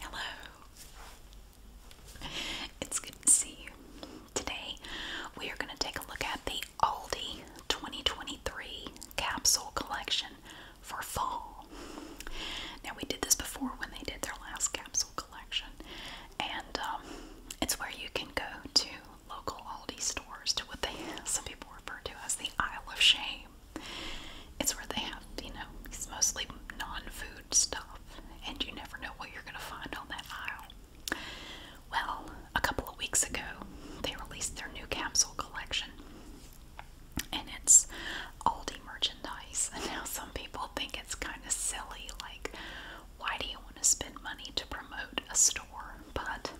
Hello. It's good to see you. Today we are going to take a look at the Aldi 2023 capsule collection for fall. Now we did this before when they did their last capsule collection, and um, it's where you can go to local Aldi stores to what they some people refer to as the Isle of Shame. It's where they have, you know, it's mostly non-food stuff, and you never know what you're gonna find on that aisle. Well, a couple of weeks ago, they released their new capsule collection, and it's Aldi merchandise. Now, some people think it's kind of silly, like, why do you want to spend money to promote a store? But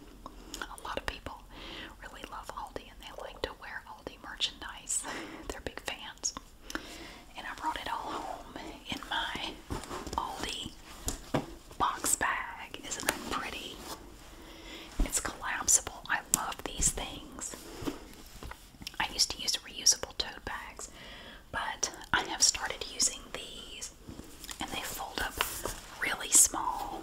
a lot of people really love Aldi and they like to wear Aldi merchandise. They're big fans. And I brought it all home in my Aldi box bag. Isn't that pretty? It's collapsible. I love these things. I used to use reusable tote bags, but I have started using these and they fold up really small.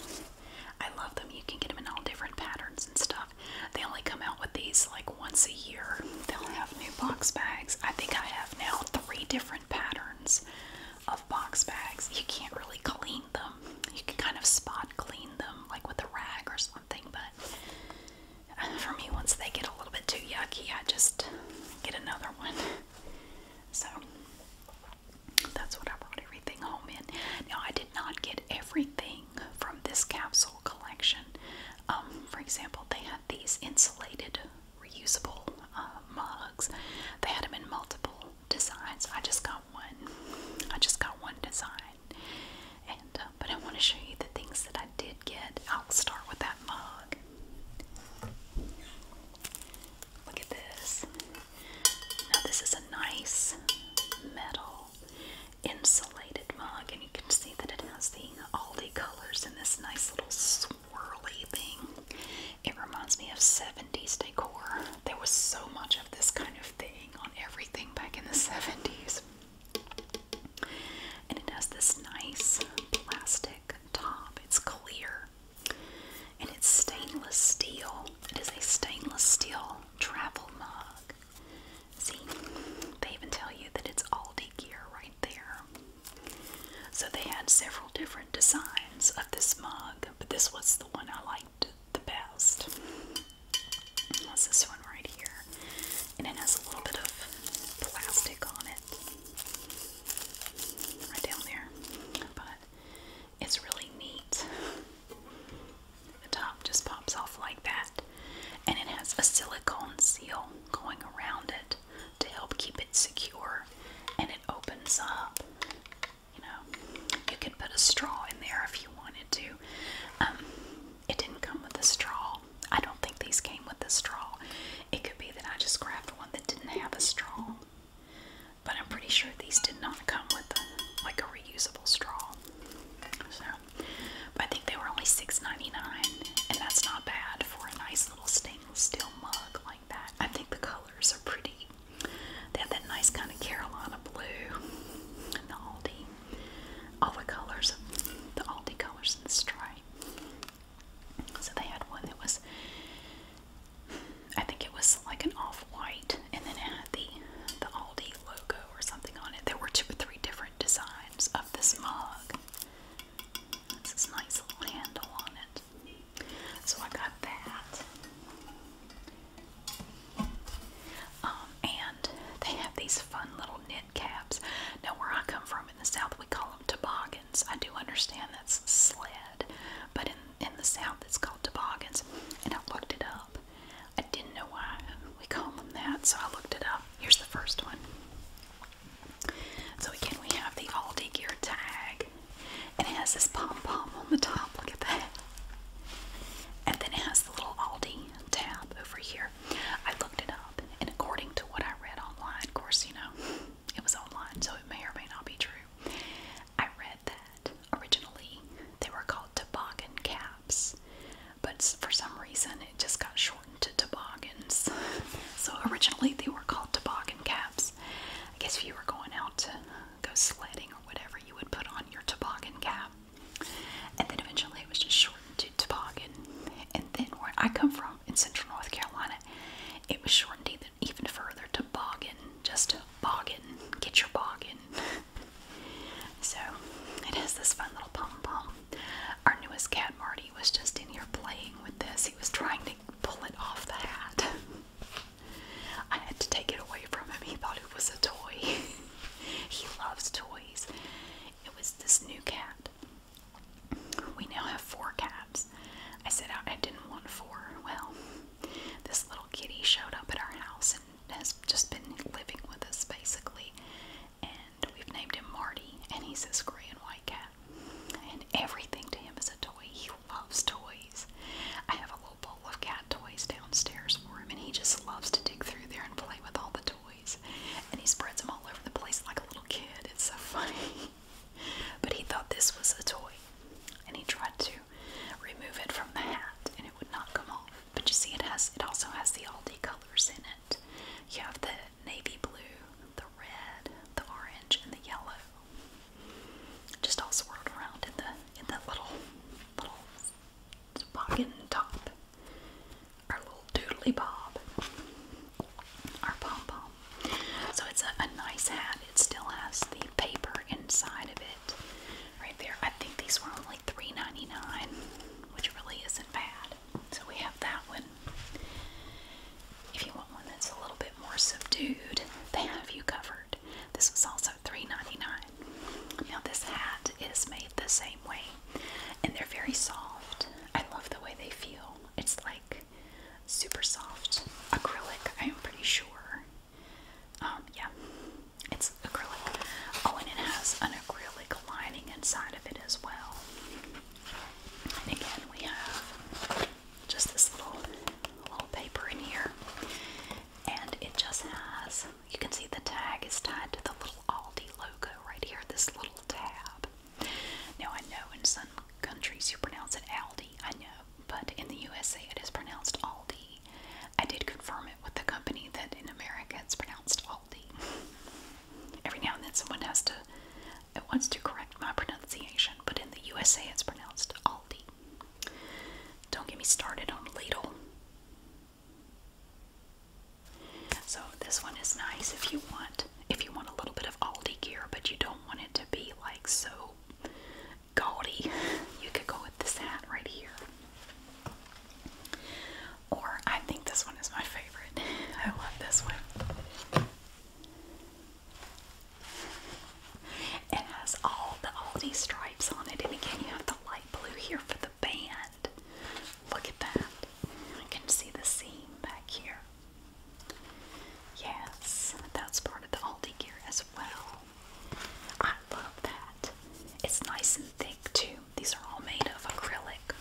I love them. You can get them in all different patterns and stuff. They only come out with these like once a year. They'll have new box bags. I think I have now three different patterns of box bags. You can't really clean them. You can kind of spot clean them like with a rag or something, but uh, for me, once they get a little bit too yucky, I just get another one. So that's what I brought everything home in. Now, I did not get everything from this capsule collection. Um, for example, they had these insulated, reusable uh, mugs. They had them in multiple designs. I just got one. I just got one design. And uh, but I want to show you the things that I did get. I'll start with that mug. Look at this. Now this is a nice metal insulated mug, and you can see that it has the all the colors in this nice little swirly thing. It reminds me of 70s decor. There was so much of this kind of thing on everything back in the 70s. And it has this nice plastic top. It's clear. And it's stainless steel. It is a stainless steel travel mug. See, they even tell you that it's Aldi gear right there. So they had several different designs of this mug, but this was the one I liked the best. That's this one right here. And it has a little bit of plastic on it. Right down there. But it's really neat. The top just pops off like that. And it has a silicone seal going around it to help keep it secure. And it opens up. You know, you can put a straw in there if you wanted to. Um, it didn't come with a straw. I don't think these came with a straw. It could be that I just grabbed one that didn't have a straw. But I'm pretty sure these did not come with a, like a reusable straw. So but I think they were only $6.99, and that's not bad for a nice little stainless steel mug like that. I think the colors are pretty. They have that nice kind of Carolina blue and the Aldi. All the colors, the Aldi colors in the stripe. So they had one that was, I think it was like an off-white, and then it had the the Aldi logo or something on it. There were two or three different designs of this mug. It's this nice little handle on it. So I got that. Um, and they have these fun little knit caps. Now, where I come from in the South, we call them toboggans. I do understand that's sled, but in, in the South, it's called toboggans. And I looked it up. I didn't know why we call them that, so I looked it up. Here's the first one. So again, we have the Aldi gear tag, and it has this pom pom on the top. Look at that. And then it has the little Aldi tab over here. I looked it up, and according to what I read online, of course, you know, it was online, so it may or may not be true. I read that originally they were called toboggan caps, but for some reason it just got shortened to toboggans. so originally they were called toboggan caps. I guess if you were going out to go sledding or whatever, you would put on your toboggan cap. And then eventually it was just shortened to toboggan. And then where I come from in central North Carolina, it was shortened even, further to boggin. Just boggin. Get your boggin. So it has this fun little pom pom. Our newest cat, Marty, was just in here playing with this. He was trying to pull it off the hat. I had to take it away from him. He thought it was a toy. he loves toys. It was this new cat. We now have four cats. I said I didn't want four. Well, this little kitty showed up at our house and has just been living with us basically, and we've named him Marty, and he's this gray and white cat. And everything to him is a toy. He loves toys. I have a little bowl of cat toys downstairs for him, and he just loves to dig through there and play with all the toys. And he spreads them all over the place like a little kid. It's so funny. but he thought this was a toy, and he tried to remove it from the hat, and it would not come off. But you see, it has it also has the Aldi colors in it. You have the navy blue, the red, the orange, and the yellow. Just all swirled around in the in that little little pocket and top. Our little doodly bob. Our pom pom. So it's a nice hat. It still has the paper inside of it. Right there. I think these were only Three ninety nine, which really isn't bad. So we have that one. If you want one that's a little bit more subdued, they have you covered. This was also three ninety nine. Now this hat is made the same way, and they're very soft. I love the way they feel. It's like super soft acrylic. I am pretty sure. Um, yeah, it's acrylic. Oh, and it has an acrylic lining inside of it as well. And again, we have just this little little paper in here, and it just has. You can see the tag is tied to the little Aldi logo right here. This little tab. Now I know in some countries you pronounce it Aldi. I know, but in the USA it is pronounced Aldi. I did confirm it with the company that in America it's pronounced Aldi. Every now and then someone has to it wants to correct my pronunciation, but in the USA it's pronounced Aldi. Don't get me started on ladle. So this one is nice if you want if you want a little bit of Aldi gear, but you don't want it to be like so gaudy. You could go with this hat right here. Or I think this one is my favorite. I love this one. It has all the Aldi stripes on it, and again, you have the light blue here for the band. Look at that. I can see the seam back here. Yes, that's part of the Aldi gear as well. I love that. It's nice and thick too. These are all made of acrylic,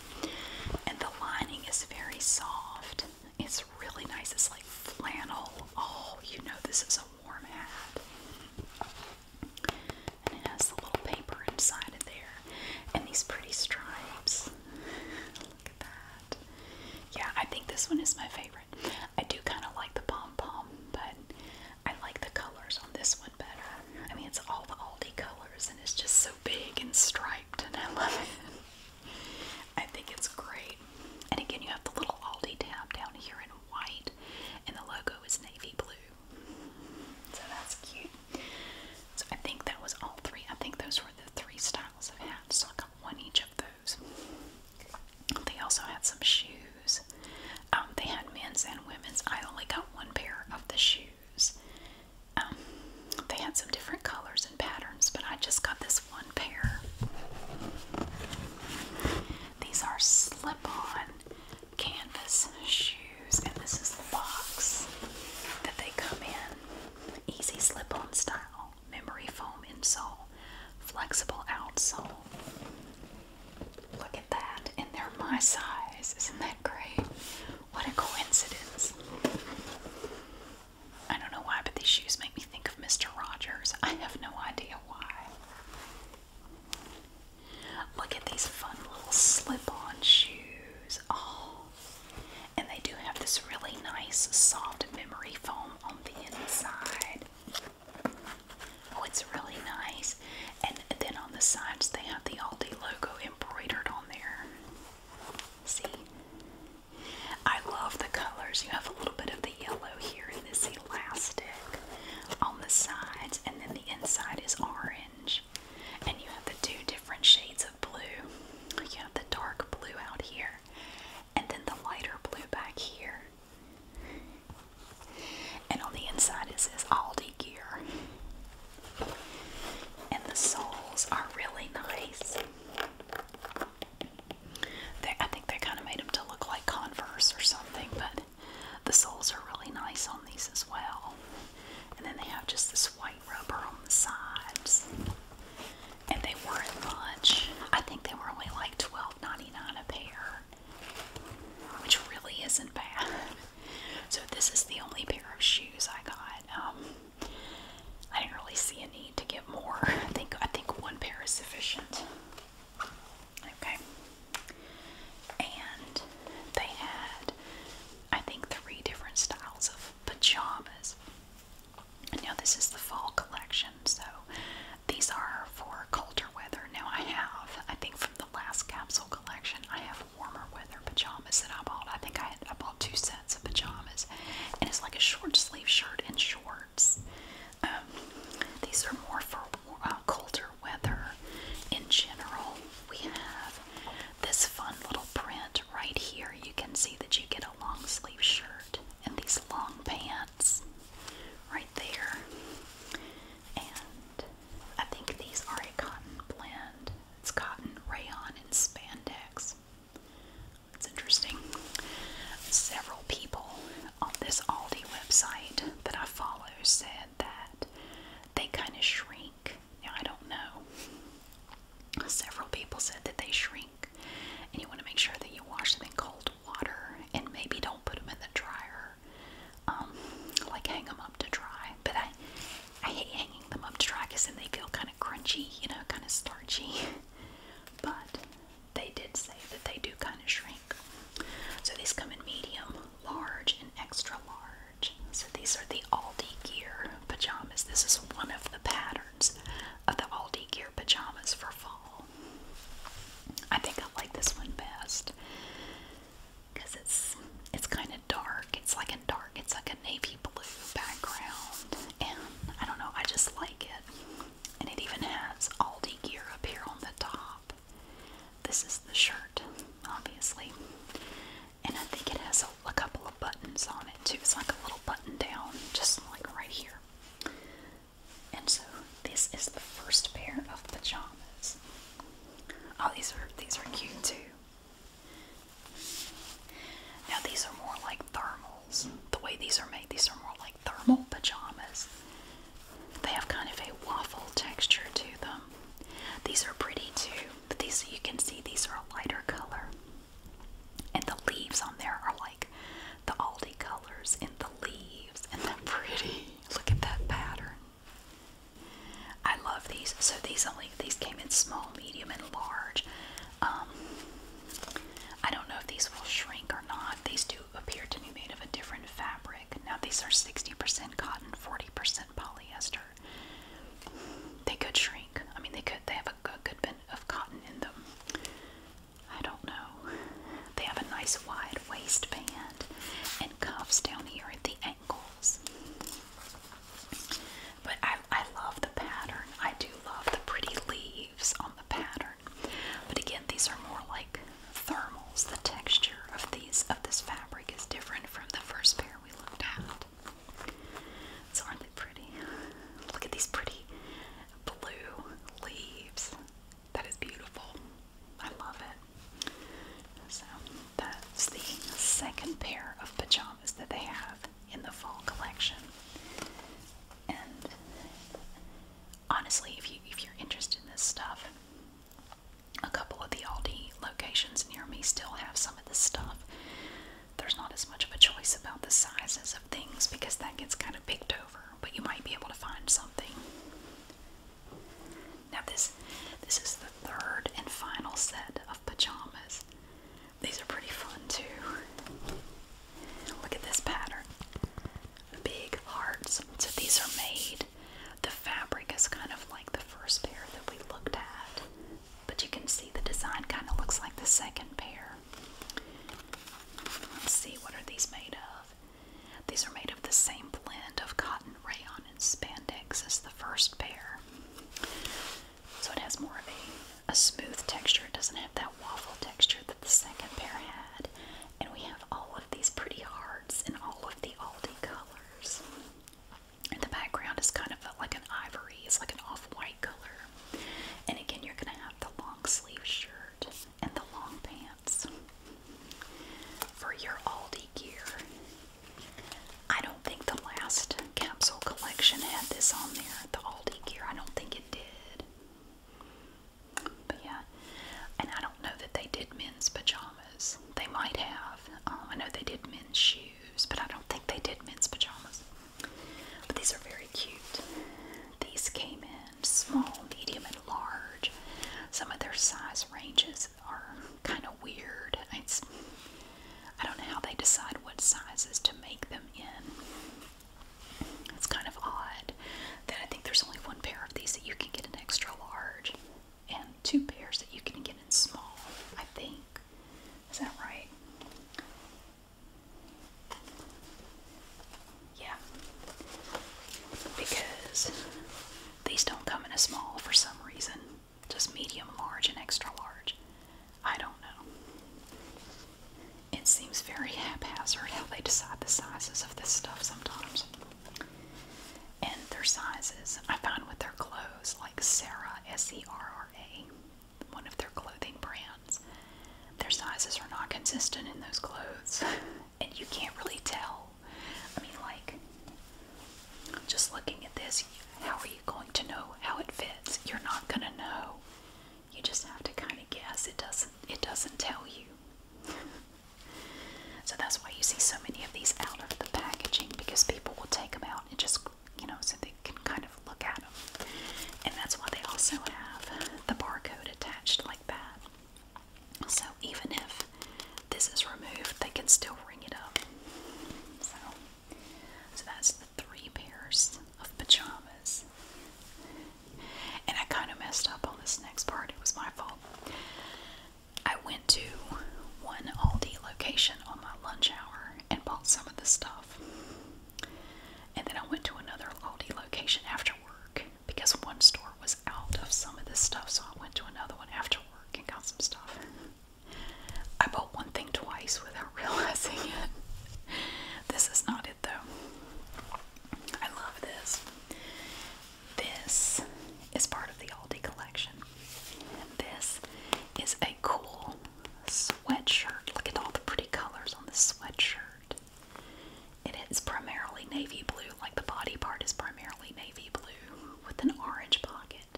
and the lining is very soft. It's really nice. It's like flannel. Oh, you know, this is a warm hat. And it has the little paper inside of there, and these pretty stripes. Look at that. Yeah, I think this one is my favorite. I do kind of like the pom pom, but I like the colors on this one better. I mean, it's all the Aldi colors and it's just so big and striped, and I love it. I think it's great. And again, you have the little Aldi tab down here in white, and the logo is navy blue. So that's cute. So I think that was all three. I think those were the three styles of hats. So I got one each of those. They also had some shoes. Um, they had men's and women's. I only got one pair of the shoe um, they had some different colors and patterns, but I just got this one pair. These are slip on canvas shoes, and this is the box that they come in. Easy slip on style, memory foam insole, flexible outsole. Look at that, and they're my size. Isn't that great? What a coincidence. I don't know why, but these shoes make me think of Mr. Rogers. I have no idea why. Look at these fun little slip on shoes. Oh, and they do have this really nice soft memory foam on the inside. Oh, it's really nice. And then on the sides, they have the Aldi logo embroidered on there. See? I love the colors. You have a little bit of the yellow here in this elastic on the sides, and then the inside is orange. And you have the two different shades of blue. You have the dark blue out here, and then the lighter blue back here. And on the inside it says Aldi gear. And the soles are really nice. I think they kind of made them to look like Converse or something, but the soles are really nice on these as well. And then they have just this white rubber on the sides. And they weren't much. I think they were only like twelve ninety nine a pair, which really isn't bad. So this is the only pair of shoes I got. Um, I didn't really see a need to get more. I think I think one pair is sufficient. Okay. And they had I think three different styles of pajamas. Now this is the fall collection, so these are for colder weather. Now I have, I think from the last capsule collection, I have warmer weather pajamas that I bought. I think I had, I bought two sets of pajamas, and it's like a short sleeve shirt and shorts. Um, these are more for uh, colder weather in general. We have this fun little print right here. You can see that you get a long sleeve shirt and these long pants right there. And I think these are a cotton blend. It's cotton, rayon, and spandex. It's interesting. Several people on this Aldi website that I follow said that they kind of shrink. Now, I don't know. Several people said that they shrink, and you want to make sure that you wash them in cold water and maybe don't put them in the dryer um, like hang them up to dry. But I, I hate hanging them up to dry because then they feel kind of crunchy, you know, kind of starchy. but they did say that they do kind of shrink. So these come in medium, large, and extra large. So these are the Aldi Gear pajamas. This is one of the patterns of the Aldi Gear pajamas for fall. I think I like this one best because it's it's kind of dark. It's like a dark. It's like a navy blue background, and I don't know. I just like it, and it even has Aldi gear up here on the top. This is the shirt, obviously, and I think it has a, a couple of buttons on it too. It's like a little button down, just like right here. And so, this is the first pair of pajamas. Oh, these are these are cute too. Now these are more like thermals. The way these are made, these are more like thermal pajamas. They have kind of a waffle texture to them. These are pretty too, but these you can see these are a lighter color. And the leaves on there are like the Aldi colors in the leaves, and they're pretty. Look at that pattern. I love these. So these only these came in small, medium, and large. Um, I don't know if these will shrink or not. These do appear to be made of a different fabric. Now these are 60% cotton, 40% polyester. They could shrink. I mean, they could. They have a good bit of cotton in them. I don't know. They have a nice wide waistband and cuffs down here at the but I, love the pattern. I do love the pretty leaves on the pattern. But again, these are more like thermals. The texture of these of this fabric is different from the first pair we looked at. So are pretty? Look at these pretty blue leaves. That is beautiful. I love it. So that's the second pair of pajamas that they have in the fall collection. And honestly, if you if you're interested in this stuff, a couple of the Aldi locations near me still have some of this stuff. There's not as much of a choice about the sizes of things because that gets kind of picked over, but you might be able to find something now this this is the third and final set of pajamas. These are pretty fun too. Look at this pattern. Big hearts. So these are made. The fabric is kind of like the first pair that we looked at. But you can see the design kind of looks like the second pair. Let's see what are these made of. These are made of the same blend of cotton, rayon, spandex is the first pair. So it has more of a, smooth texture. It doesn't have that waffle texture that the second pair had. And we have all of these pretty hearts in all of the Aldi colors. And the background is kind of like an ivory, it's like an off white color. And again, you're going to have the long sleeve shirt and the long pants. For your Aldi gear, I don't think the last capsule collection had this on there, the Aldi gear. I don't think it did. But yeah, and I don't know that they did men's pajamas. They might have. Um, I know they did men's shoes, but I don't think they did men's pajamas. But these are very cute. These came in small, medium, and large. Some of their size ranges these are kind of weird. It's I don't know how they decide what sizes to make them in. It's kind of odd that I think there's only one pair of these that you can get in extra large and two pairs that you can get in small, I think. Is that right? Yeah. Because these don't come in a small for some reason just medium large and extra large. I don't know. It seems very haphazard how they decide the sizes of this stuff sometimes. And their sizes, I find with their clothes, like Sarah, S E R R A, one of their clothing brands, their sizes are not consistent in those clothes. And you can't really tell I mean, like, just looking at this, how are you going to know how it fits? You're not going to know. You just have to kind of guess. It doesn't. It doesn't tell you. so that's why you see so many of these out of the packaging because people will take them out and just, you know, so they can kind of look at them. And that's why they also have the barcode attached like that. So even if this is removed, they can still ring it up. So, so that's the three pairs of pajamas. And I kind of messed up on this next part. It was my fault. I went to one Aldi location on my lunch hour and bought some of the stuff. And then I went to another Aldi location after work because one store was out of some of this stuff, so I went to another one after working on some stuff. I bought one thing twice without realizing it. This is not it though. I love this. This is part of the Aldi collection. This is a cool sweatshirt. Look at all the pretty colors on the sweatshirt. It is primarily navy blue, like the body part is primarily navy blue with an orange pocket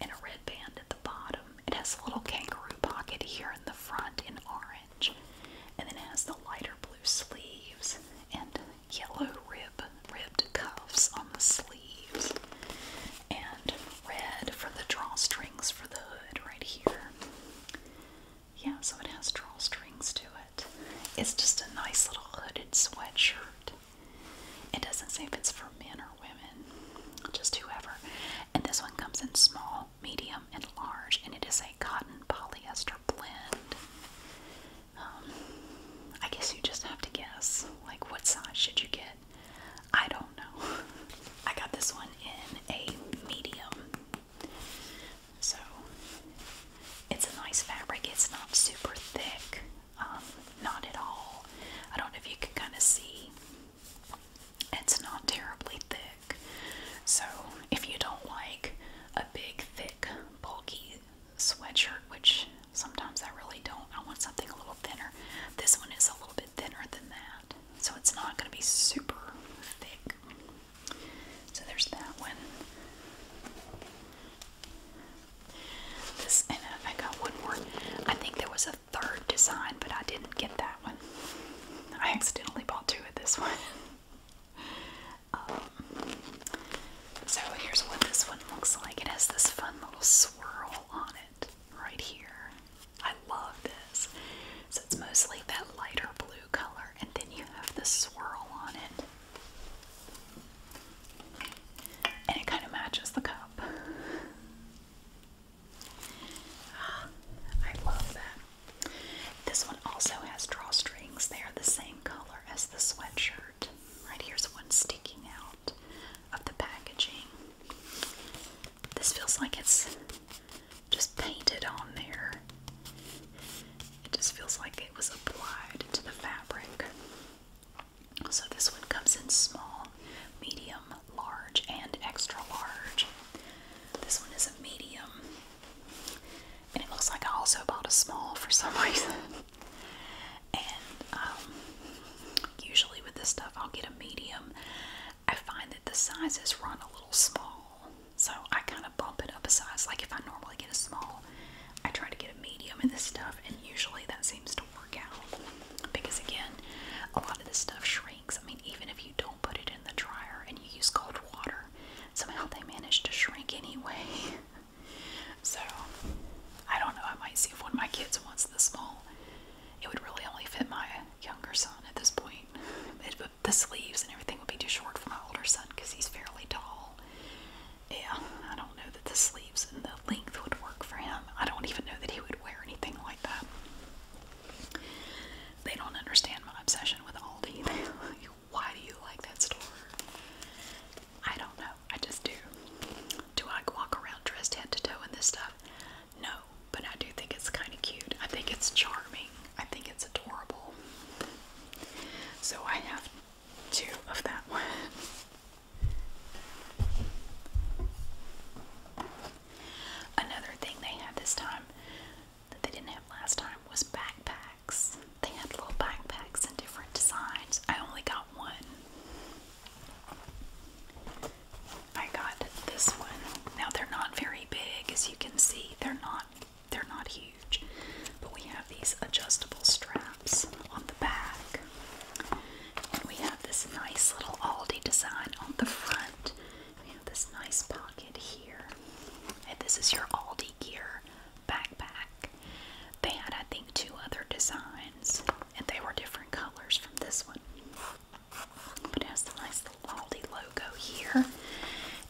and a red band at the bottom. It has a little kangaroo pocket here in the front in orange, and then has the lighter blue sleeves and yellow rib ribbed cuffs on the sleeves, and red for the drawstrings for the hood right here. Yeah, so it has drawstrings to it. It's just a nice little hooded sweatshirt. It doesn't say if it's for men or women, just whoever. And this one comes in small, medium, and large, and it is a cotton polyester blend. Um, I guess you just have to guess. Like, what size should you get? I don't know. I got this one in a medium. So, it's a nice fabric. It's not super thick. Um, not at all. I don't know if you can kind of see, it's not terribly thick. So, if you don't like a big, thick, bulky sweatshirt, which sometimes I really don't, I want something a little thinner. This one is a little bit thinner than that, so it's not going to be super thick. So, there's that one. This and I got one more. I think there was a third design, but I didn't get that one. I accidentally bought two of this one. Um, so here's what this one looks like. It has this fun little swirl on it right here. I love this. So it's mostly that lighter blue color, and then you have the swirl on it. And it kind of matches the cup. I love that. This one also has drawstrings. They are the same color as the sweatshirt. Right here's one sticking out of the packaging. This feels like it's just painted on there. It just feels like it was applied to the fabric. So this one comes in small, medium, large, and extra large. This one is a medium. And it looks like I also bought a small for some reason. and um, usually with this stuff, I'll get a medium. I find that the sizes run a little small. So I kind of bump it up a size. Like if I normally get a small, I try to get a medium in this stuff, and usually that seems to work out because, again, a lot of this stuff shrinks. I mean, even if you don't put it in the dryer and you use cold water, somehow they manage to shrink anyway. so, I don't know. I might see if one of my kids wants the small. It would really only fit my younger son at this point. It, the sleeves and everything would be too short for my older son because he's fairly tall yeah, I don't know that the sleeves and the length would work for him. I don't even know that he would wear anything like that. They don't understand my obsession with Aldi. Why do you like that store? I don't know. I just do. Do I walk around dressed head to toe in this stuff? No, but I do think it's kind of cute. I think it's charming. I think it's adorable. So I have two of that one. Another thing they had this time that they didn't have last time was backpacks. They had little backpacks in different designs. I only got one. I got this one. Now they're not very big as you can see. They're not they're not huge. But we have these adjustable straps on the back. And we have this nice little Aldi design on the front. We have this nice pocket here. And this is your Aldi gear backpack. They had, I think, two other designs, and they were different colors from this one. But it has the nice little Aldi logo here.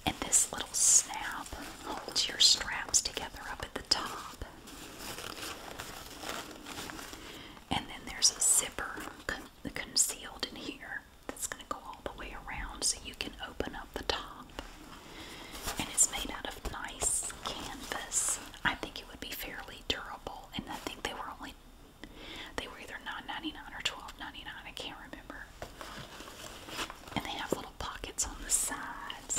And this little snap holds your straps together up at the top. And then there's a zipper concealed in here that's going to go all the way around so you can open up the top. And it's made out of nice canvas. I think it would be fairly durable and I think they were only they were either 9 99 or 12 99 I can't remember. And they have little pockets on the sides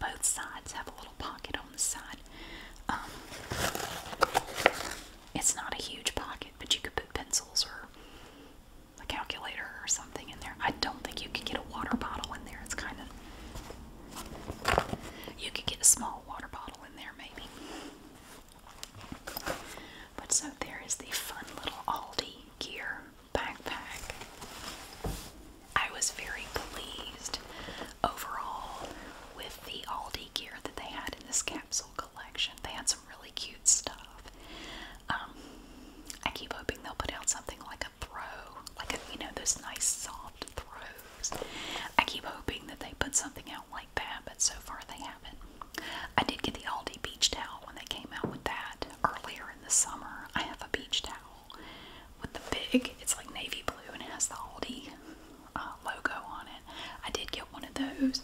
both sides have a little pocket on the side. Um, it's not a huge pocket, but you could put pencils or a calculator or something in there. I don't think you could get a water bottle in there. It's kind of. You could get a small water bottle in there, maybe. But so there is the fun little Aldi gear backpack. I was very pleased overall with the Aldi gear that they had in this capsule collection. They had some really cute stuff. Um, I keep hoping they'll put out something like a throw, like a, you know, those nice soft throws. I keep hoping that they put something out like that, but so far they haven't. I did get the Aldi beach towel when they came out with that earlier in the summer. I have a beach towel with the big, it's like navy blue and it has the Aldi uh, logo on it. I did get one of those.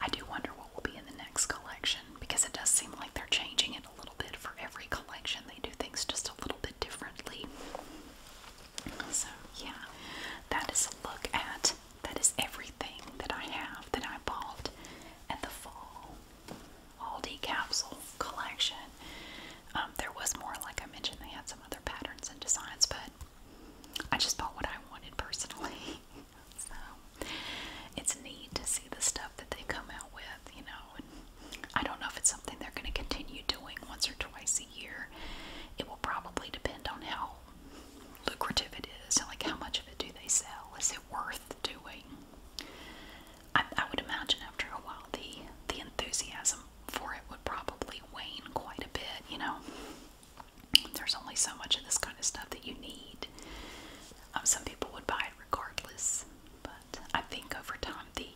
I do wonder what will be in the next collection because it does seem like they're changing it a little bit for every collection. They do things just a little bit differently. So, yeah, that is a look at that is everything that I have that I bought at the fall. Aldi capsule collection. Um, there was more, like I mentioned, they had some other patterns and designs, but I just bought what I wanted personally. so it's neat to see the stuff that they come out with, you know. And I don't know if it's something they're going to continue doing once or twice a year. It will probably depend on how lucrative it is, and like how much of it do they sell? Is it worth doing? I, I would imagine after a while the the enthusiasm for it would probably wane quite a bit. You know, there's only so much of this kind of stuff that you need. Um, some people would buy it regardless, but I think over time the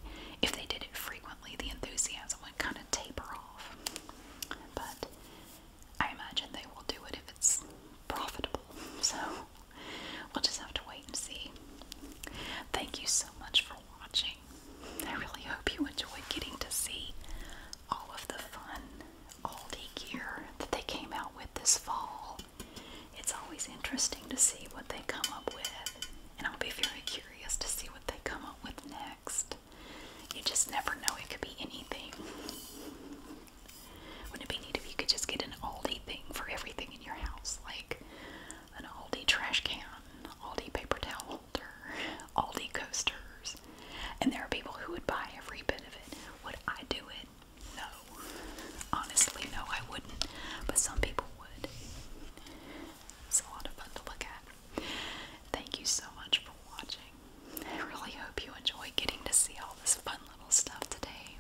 if they did it frequently, the enthusiasm would kind of taper off. But I imagine they will do it if it's profitable. So we'll just have to wait and see. Thank you so much for watching. I really hope you enjoyed getting to see all of the fun Aldi gear that they came out with this fall. It's always interesting to see what they come up with, and I'll be very curious to see what they come up with next. You just never know, it could be anything. Wouldn't it be neat if you could just get an Aldi thing for everything in your house? Like, an Aldi trash can, Aldi paper towel holder, Aldi coasters. And there are people who would buy every bit of it. Would I do it? No. Honestly, no, I wouldn't. But some people would. It's a lot of fun to look at. Thank you so much for watching. I really hope you enjoy getting to see all this fun little stuff today.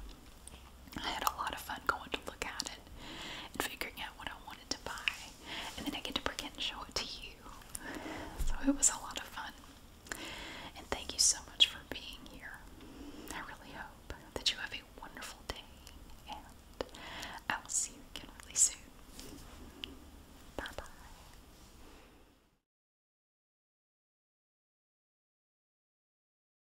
I had a lot of fun going to look at it and figuring out what I wanted to buy, and then I get to bring it and show it to you. So it was a lot of fun. And thank you so much for being here. I really hope that you have a wonderful day, and I will see you again really soon. Bye bye.